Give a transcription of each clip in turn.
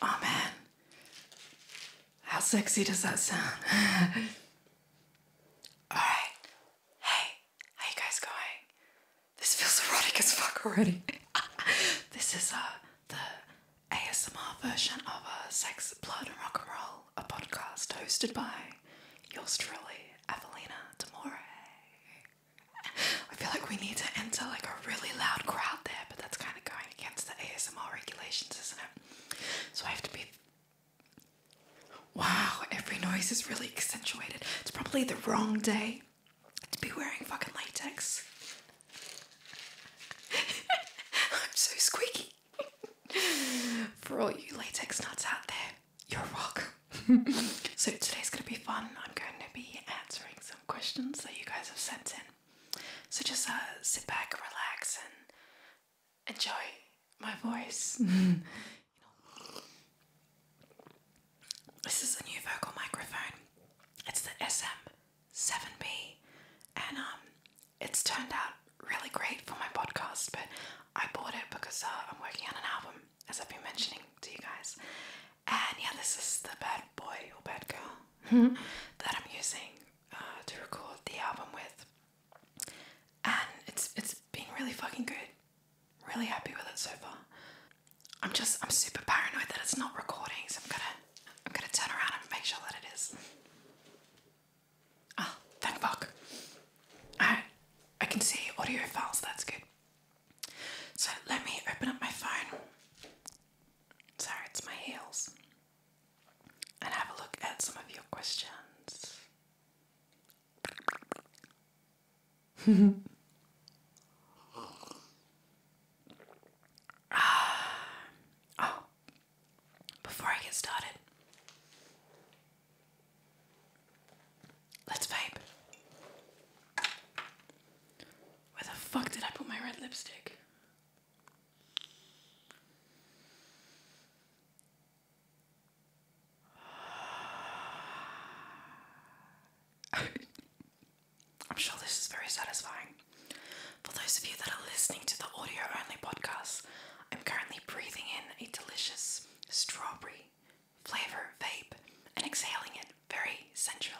Oh how sexy does that sound? All right, hey, how you guys going? This feels erotic as fuck already. this is uh, a the ASMR version of a uh, Sex, Blood, and Rock Roll a podcast hosted by yours truly, Evelina Demore. I feel like we need to enter like a really loud crowd there, but that's kind of going against the ASMR regulations, isn't it? So I have to be. Wow, every noise is really accentuated. It's probably the wrong day to be wearing fucking latex. I'm so squeaky. For all you latex nuts out there, you're welcome. so today's gonna be fun. I'm going to be answering some questions that you guys have sent in. So just uh, sit back, relax, and enjoy my voice. This is a new vocal microphone. It's the SM7B, and um, it's turned out really great for my podcast, but I bought it because uh, I'm working on an album, as I've been mentioning to you guys. And yeah, this is the bad boy or bad girl mm-hmm. that I'm using uh, to record the album with, and it's it's been really fucking good. Really happy with it so far. I'm just I'm super paranoid that it's not recording, so I'm gonna I'm gonna turn around and make sure that it is oh, ah, thank fuck. Alright, I can see audio files, that's good. So let me open up my phone. Sorry, it's my heels. And have a look at some of your questions. ah, oh, before I get started, let's vape. Where the fuck did I put my red lipstick? I'm sure this is very satisfying. For those of you that are listening to the audio only podcast, I'm currently breathing in a delicious strawberry flavor vape and exhaling it very sensually.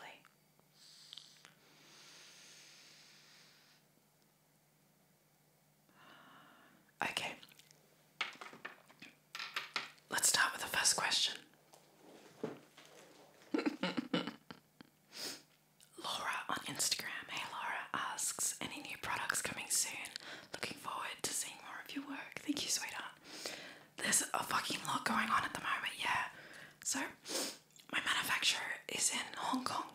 Okay, let's start with the first question. Laura on Instagram, hey Laura, asks any new products coming soon? Looking forward to seeing more of your work. Thank you, sweetheart. There's a fucking lot going on at the moment, yeah. So, my manufacturer is in Hong Kong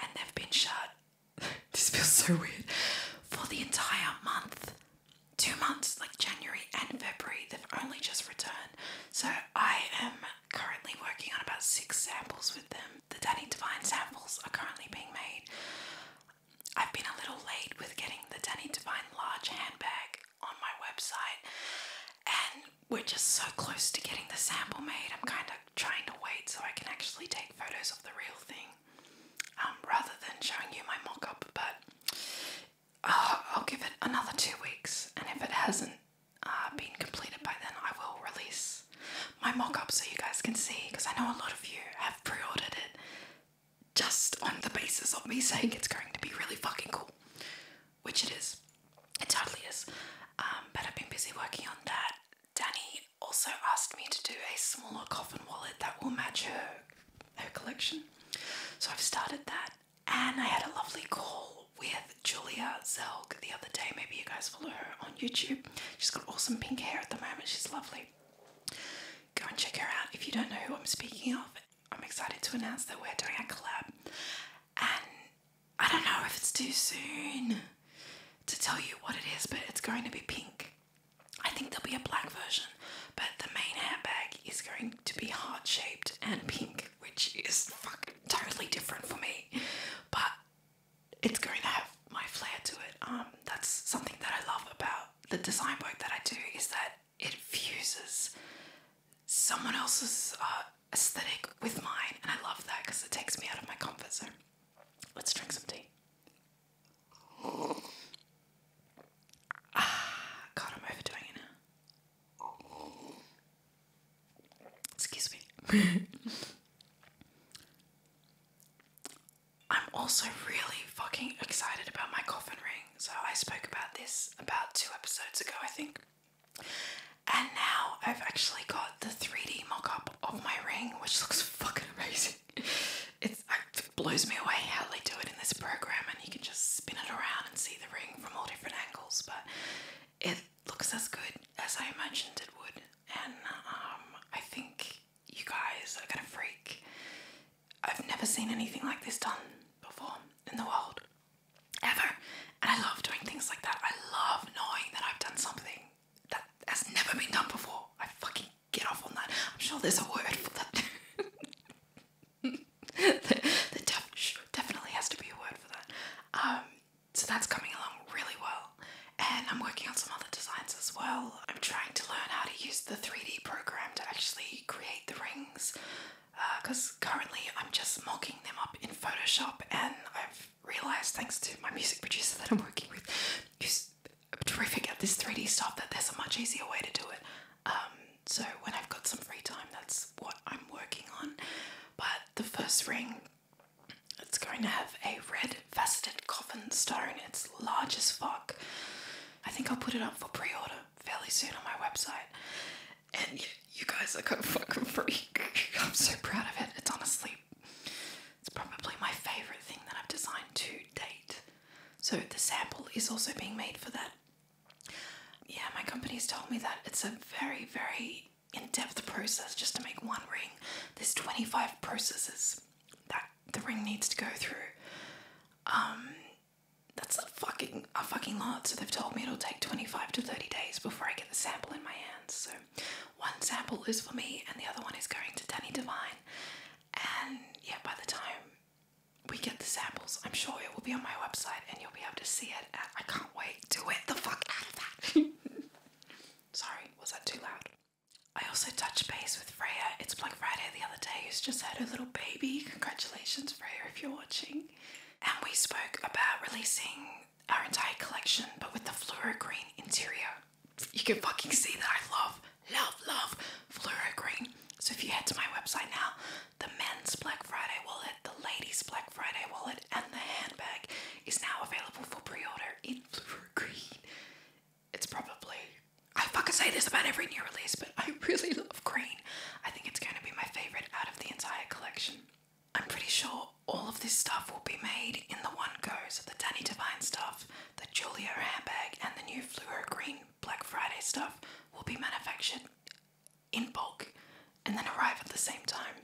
and they've been shut. this feels so weird. For the entire month. Two months, like January and February, they've only just returned. So, I am currently working on about six samples with them them. The Danny Devine samples are currently being made. I've been a little late with getting the Danny Devine large handbag on my website, and we're just so close to getting the sample made. I'm kind of trying to wait so I can actually take photos of the real thing um, rather than showing you my mock up, but uh, I'll give it another two weeks, and if it hasn't uh, been completed by then, I will release my mock-up so you guys can see because I know a lot of you have pre-ordered it just on the basis of me saying it's going to be really fucking cool. Which it is. It totally is. Um, but I've been busy working on that. Danny also asked me to do a smaller coffin wallet that will match her her collection. So I've started that. And I had a lovely call with Julia Zelk the other day. Maybe you guys follow her on YouTube. She's got awesome pink hair at the moment. She's lovely. Go and check her out if you don't know who I'm speaking of. I'm excited to announce that we're doing a collab, and I don't know if it's too soon to tell you what it is, but it's going to be pink. I think there'll be a black version, but the main handbag is going to be heart shaped and pink, which is fucking totally different for me. But it's going to have my flair to it. Um, that's something that I love about the design work that I do is that it fuses someone else's uh, aesthetic with mine, and I love that because it takes me out of my comfort zone. Let's drink some tea. Ah, God, I'm overdoing it now. Excuse me. I'm also really fucking excited about my coffin ring. So I spoke about this about two episodes ago, I think. And now I've actually got the 3D mock up of my ring, which looks fucking amazing. it blows me away how they do it in this program, and you can just spin it around and see the ring from all different angles. But it looks as good as I imagined it would and um, I think you guys are gonna freak. I've never seen anything like this done before in the world, ever. And I love doing things like that. I love knowing that I've done something that has never been done before. I fucking get off on that. I'm sure there's a word for that. there, there definitely has to be a word for that. Um, so that's coming along really well. And I'm working on some other designs as well. I'm trying to learn how to use the 3D program to actually create the rings because uh, currently I'm just mocking them up in Photoshop and I've realized thanks to my music producer that I'm working with who's terrific at this 3D stuff that there's a much easier way to do it. Um, so when I've got some free time that's what I'm working on. But the first ring it's going to have a red faceted coffin stone. It's large as fuck. I think I'll put it up for pre order fairly soon on my website. And you, guys are going fucking freak. I'm so proud of it. It's honestly, it's probably my favorite thing that I've designed to date. So the sample is also being made for that. Yeah, my company's told me that it's a very, very in-depth process just to make one ring. There's 25 processes that the ring needs to go through. Um, that's a fucking a fucking lot. So they've told me it'll take 25 to 30 days before I get the sample in my hands. So one sample is for me, and the other one is going to Danny Devine. And yeah, by the time we get the samples, I'm sure it will be on my website, and you'll be able to see it. I can't wait to get the fuck out of that. Sorry, was that too loud? I also touched base with Freya. It's Black Friday the other day, who's just had her little baby. Congratulations, Freya, if you're watching. And we spoke about releasing our entire collection, but with the fluoro green interior. You can fucking see that I love, love, love fluoro green. So if you head to my website now, the men's Black Friday wallet, the ladies' Black Friday wallet, and the handbag is now available for pre-order in fluoro green. It's probably I fucking say this about every new release, but I really love green. I think it's going to be my favorite out of the entire collection. I'm pretty sure all of this stuff will be made in the one goes. so the Danny Divine stuff, the Julio handbag, and the new fluoro green Black Friday stuff will be manufactured in bulk and then arrive at the same time,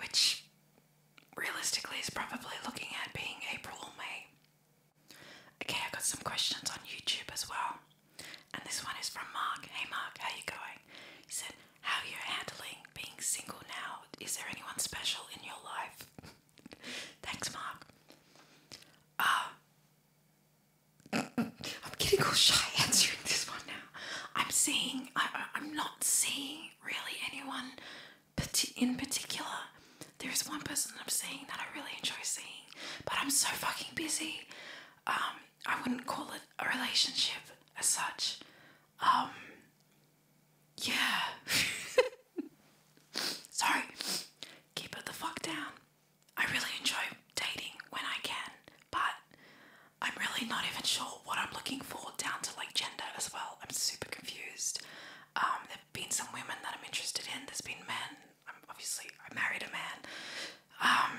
which realistically is probably looking at being April or May. Okay, I got some questions on YouTube as well. And this one is from Mark. Hey Mark, how you going? He said, How are you handling being single now? Is there anyone special in your life? Thanks, Mark. Uh I'm getting all shy answering this one now. I'm seeing I'm not seeing really anyone in particular. There's one person I'm seeing that I really enjoy seeing, but I'm so fucking busy. Um, I wouldn't call it a relationship as such. Um, yeah. Sorry. Keep it the fuck down. I really enjoy dating when I can, but I'm really not even sure what I'm looking for, down to like gender as well. I'm super confused. Um, there've been some women that I'm interested in. There's been men. I'm obviously I married a man. Um,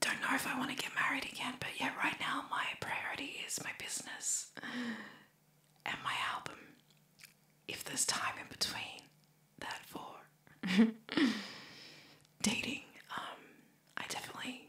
don't know if I want to get married again, but yeah, right now my priority is my business and my album. If there's time in between that for dating, um, I definitely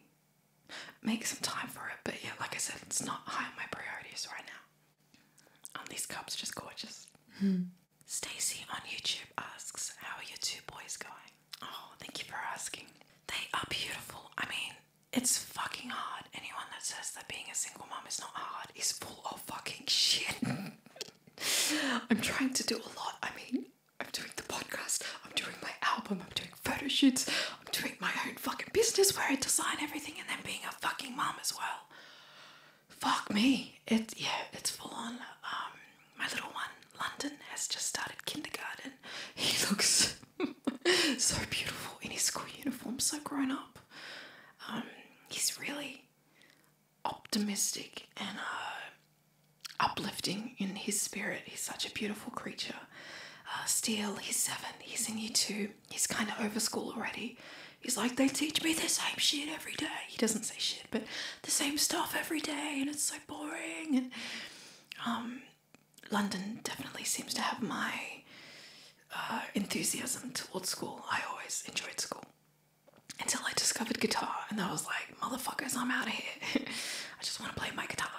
make some time for it. But yeah, like I said, it's not high on my priorities right now. And um, these cups just gorgeous. Mm. Stacy on YouTube asks, How are your two boys going? Oh, thank you for asking. They are beautiful. I mean, it's fucking hard. Anyone that says that being a single mom is not hard is full of fucking shit. I'm trying to do a lot. I mean, I'm doing the podcast, I'm doing my album, I'm doing photo shoots, I'm doing my own fucking business where I design everything and then being a fucking mom as well. Fuck me. It yeah, it's full on. Um my little one, London, has just started kindergarten. He looks so beautiful in his school uniform, so grown up. Um, he's really optimistic and uh uplifting in his spirit. He's such a beautiful creature. Uh, Steele, he's seven, he's in year two, he's kind of over school already. He's like, they teach me the same shit every day. He doesn't say shit, but the same stuff every day, and it's so boring. Um, London definitely seems to have my uh, enthusiasm towards school. I always enjoyed school until I discovered guitar, and I was like, motherfuckers, I'm out of here. I just want to play my guitar.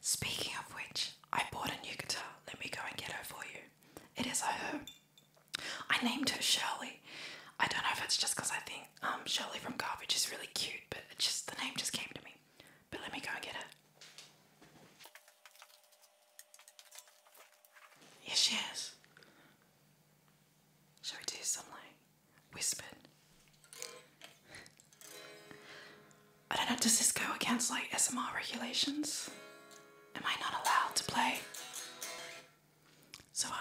Speaking of which, I bought a new guitar. Let me go and get her for you. It is her. I named her Shirley. I don't know if it's just because I think um, Shirley from Garbage is really cute, but it just the name just came to me. But let me go and get her. Yes, she is. Shall we do something? whispered. I don't know, does this go against like SMR regulations? Am I not allowed to play? So um,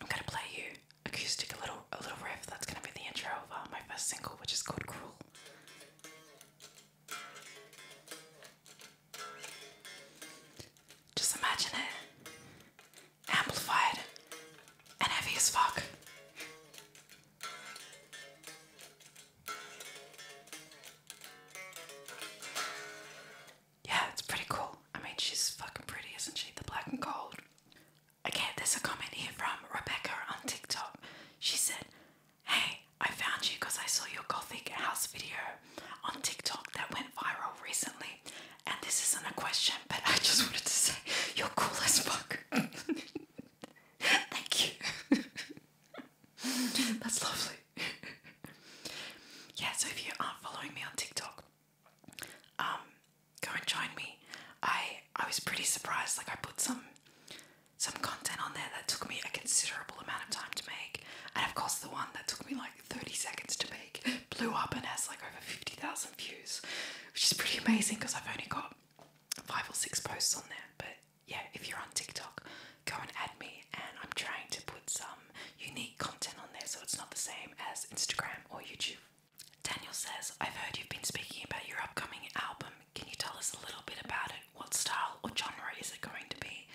I'm gonna play you acoustic a little a little riff that's gonna be the intro of uh, my first single, which is called Cruel. Just imagine it amplified, and heavy as fuck. Yeah, it's pretty cool. I mean, she's fucking pretty, isn't she? The black and gold. Okay, there's a comment here from Rebecca on TikTok. She said, Hey, I found you because I saw your gothic house video on TikTok that went viral recently, and this isn't a question, but I just wanted to say you're cool as fuck. Thank you. That's lovely. yeah, so if you aren't following me on TikTok, um, go and join me. I I was pretty surprised. Like I put some some content on there that took me a considerable amount of time to make, and of course the one that took me like 30 seconds to make it blew up and has like over 50,000 views, which is pretty amazing because I've only got five or six posts on there. But yeah, if you're on TikTok, go and add me. And I'm trying to put some unique content on there so it's not the same as Instagram or YouTube. Daniel says, I've heard you've been speaking about your upcoming album. Can you tell us a little bit about it? What style or genre is it going to be?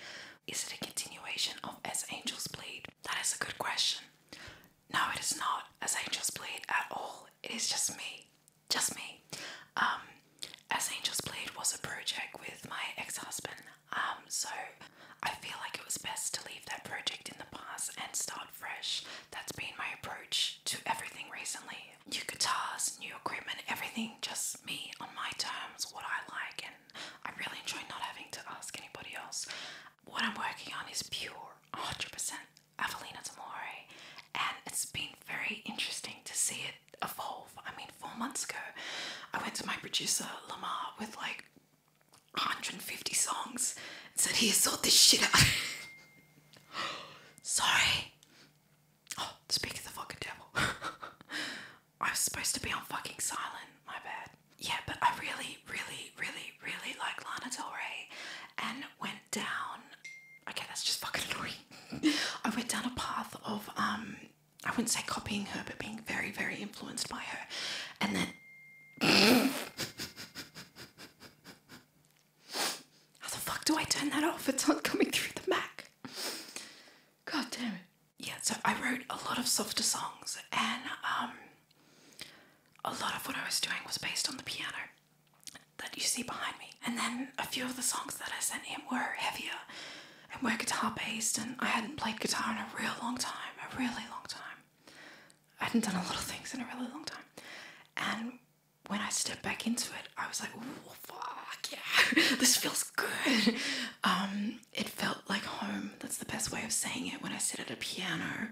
Is it a continuation of As Angels Bleed? That is a good question. No, it is not as angels bleed at all. It is just me. Just me. Um, as Angels Bleed was a project with my ex-husband. Um, so I feel like it was best to leave that project in the past and start fresh. That's been my approach to everything recently. New guitars, new equipment, everything just me on my terms, what I like, and I really enjoy not having to ask anybody else. What I'm working on is pure, 100% Evelina Tamore, and it's been very interesting to see it evolve. I mean, four months ago, I went to my producer Lamar with like 150 songs and said, Here, sort this shit out. Sorry. Oh, speak of the fucking devil. I was supposed to be on fucking silent, my bad yeah, but I really, really, really, really like Lana Del Rey and went down. Okay, that's just fucking annoying. I went down a path of, um, I wouldn't say copying her, but being very, very influenced by her. And then. How the fuck do I turn that off? It's not coming through the Mac. God damn it. Yeah, so I wrote a lot of softer songs and, um, a lot of what I was doing was based on the piano that you see behind me. And then a few of the songs that I sent him were heavier and were guitar based, and I hadn't played guitar in a real long time, a really long time. I hadn't done a lot of things in a really long time. And when I stepped back into it, I was like, fuck yeah, this feels good. Um, it felt like home. That's the best way of saying it when I sit at a piano.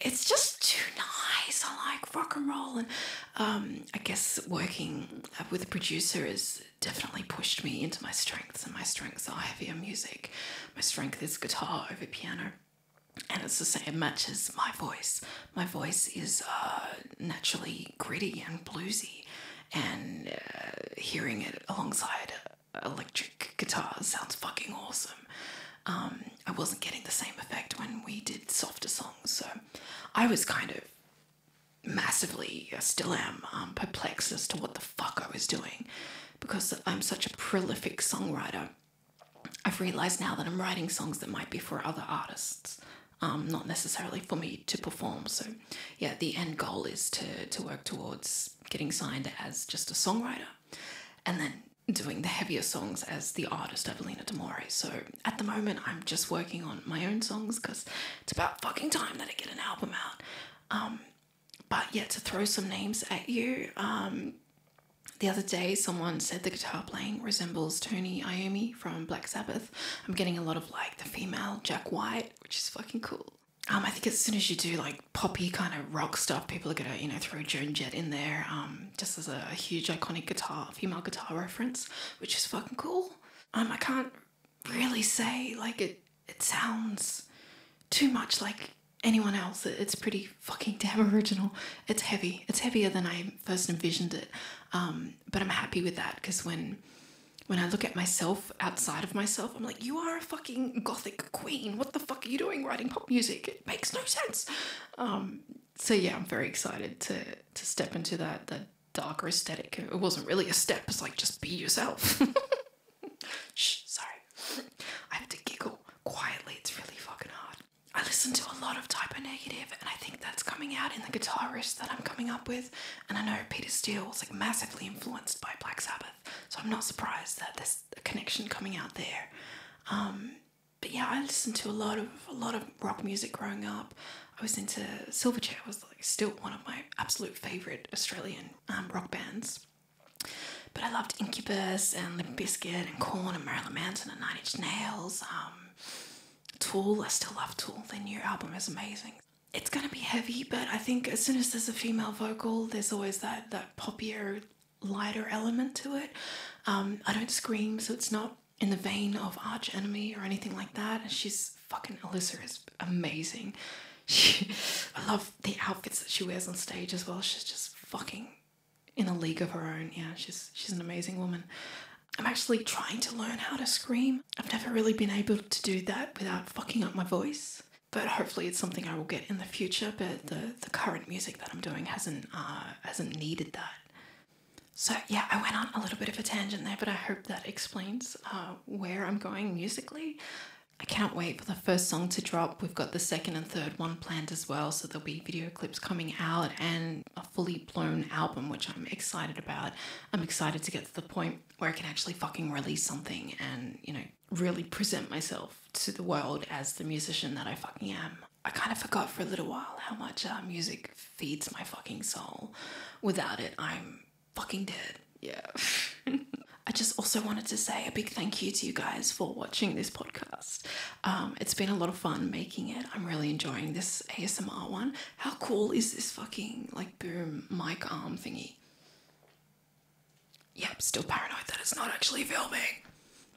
It's just too nice. I like rock and roll. And um, I guess working uh, with a producer has definitely pushed me into my strengths, and my strengths are heavier music. My strength is guitar over piano. And it's the same match as my voice. My voice is uh, naturally gritty and bluesy, and uh, hearing it alongside electric guitar sounds fucking awesome. Um, I wasn't getting the same effect when we did softer songs, so I was kind of massively, I still am, um, perplexed as to what the fuck I was doing because I'm such a prolific songwriter. I've realized now that I'm writing songs that might be for other artists, um, not necessarily for me to perform. So, yeah, the end goal is to, to work towards getting signed as just a songwriter and then doing the heavier songs as the artist Evelina Demore. So at the moment, I'm just working on my own songs because it's about fucking time that I get an album out. Um, but yeah, to throw some names at you, um, the other day someone said the guitar playing resembles Tony Iommi from Black Sabbath. I'm getting a lot of like the female Jack White, which is fucking cool. Um, I think as soon as you do like poppy kind of rock stuff, people are gonna you know throw Joan Jett in there, um, just as a, huge iconic guitar female guitar reference, which is fucking cool. Um, I can't really say like it. It sounds too much like anyone else. it's pretty fucking damn original. It's heavy. It's heavier than I first envisioned it. Um, but I'm happy with that because when when I look at myself outside of myself. I'm like, you are a fucking gothic queen. What the fuck are you doing writing pop music? It makes no sense. Um, so yeah, I'm very excited to to step into that that darker aesthetic. It wasn't really a step. It's like just be yourself. sorry. I have to giggle quietly. It's really fucking hard. I listen to a lot of typo negative, and I think that's coming out in the guitarists that I'm coming up with. And I know Peter Steele was like massively influenced by Black Sabbath. So I'm not surprised that there's a connection coming out there. Um, but yeah, I listened to a lot of a lot of rock music growing up. I was into Silverchair was like still one of my absolute favorite Australian um, rock bands. But I loved Incubus and Limp Bizkit and Corn and Marilyn Manson and Nine Inch Nails. Um, Tool, I still love Tool. Their new album is amazing. It's gonna be heavy, but I think as soon as there's a female vocal, there's always that that that poppier, lighter element to it. Um, I don't scream, so it's not in the vein of Arch Enemy or anything like that. And she's fucking Alyssa is amazing. I love the outfits that she wears on stage as well. She's just fucking in a league of her own. Yeah, she's she's an amazing woman. I'm actually trying to learn how to scream. I've never really been able to do that without fucking up my voice but hopefully it's something I will get in the future. But the the current music that I'm doing hasn't uh, hasn't needed that. So yeah, I went on a little bit of a tangent there, but I hope that explains uh, where I'm going musically. I can't wait for the first song to drop. We've got the second and third one planned as well, so there'll be video clips coming out and a fully blown album, which I'm excited about. I'm excited to get to the point where I can actually fucking release something and, you know, really present myself to the world as the musician that I fucking am. I kind of forgot for a little while how much uh, music feeds my fucking soul. Without it, I'm fucking dead. Yeah. I just also wanted to say a big thank you to you guys for watching this podcast. Um, it's been a lot of fun making it. I'm really enjoying this ASMR one. How cool is this fucking like boom mic arm thingy? Yeah, still paranoid that it's not actually filming.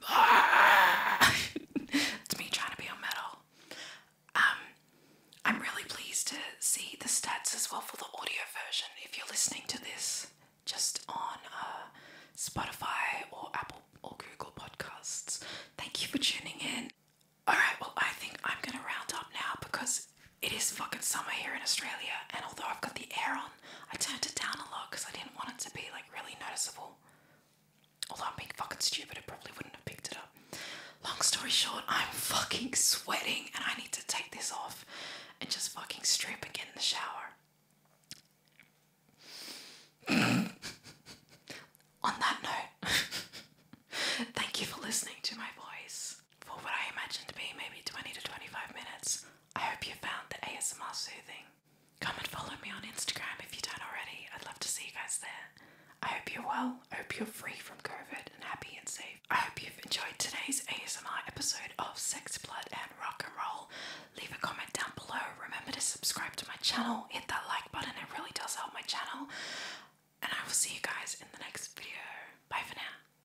it's me trying to be on metal. Um, I'm really pleased to see the stats as well for the audio version. If you're listening to this just on uh, Spotify or Apple or Google Podcasts, thank you for tuning in. Alright, well, I think I'm gonna round up now because it is fucking summer here in Australia, and although I've got the air on, I turned it down a lot because I didn't want it to be like really noticeable. Although I'm being fucking stupid, I probably wouldn't have picked it up. Long story short, I'm fucking sweating and I need to take this off and just fucking strip and get in the shower. On that note, thank you for listening to my voice for what I imagine to be maybe 20 to 25 minutes. I hope you found the ASMR soothing. Come and follow me on Instagram if you don't already. I'd love to see you guys there. I hope you're well. I hope you're free from COVID and happy and safe. I hope you've enjoyed today's ASMR episode of Sex, Blood, and Rock and Roll. Leave a comment down below. Remember to subscribe to my channel. Hit that like button, it really does help my channel. And I will see you guys in the next video. Bye for now.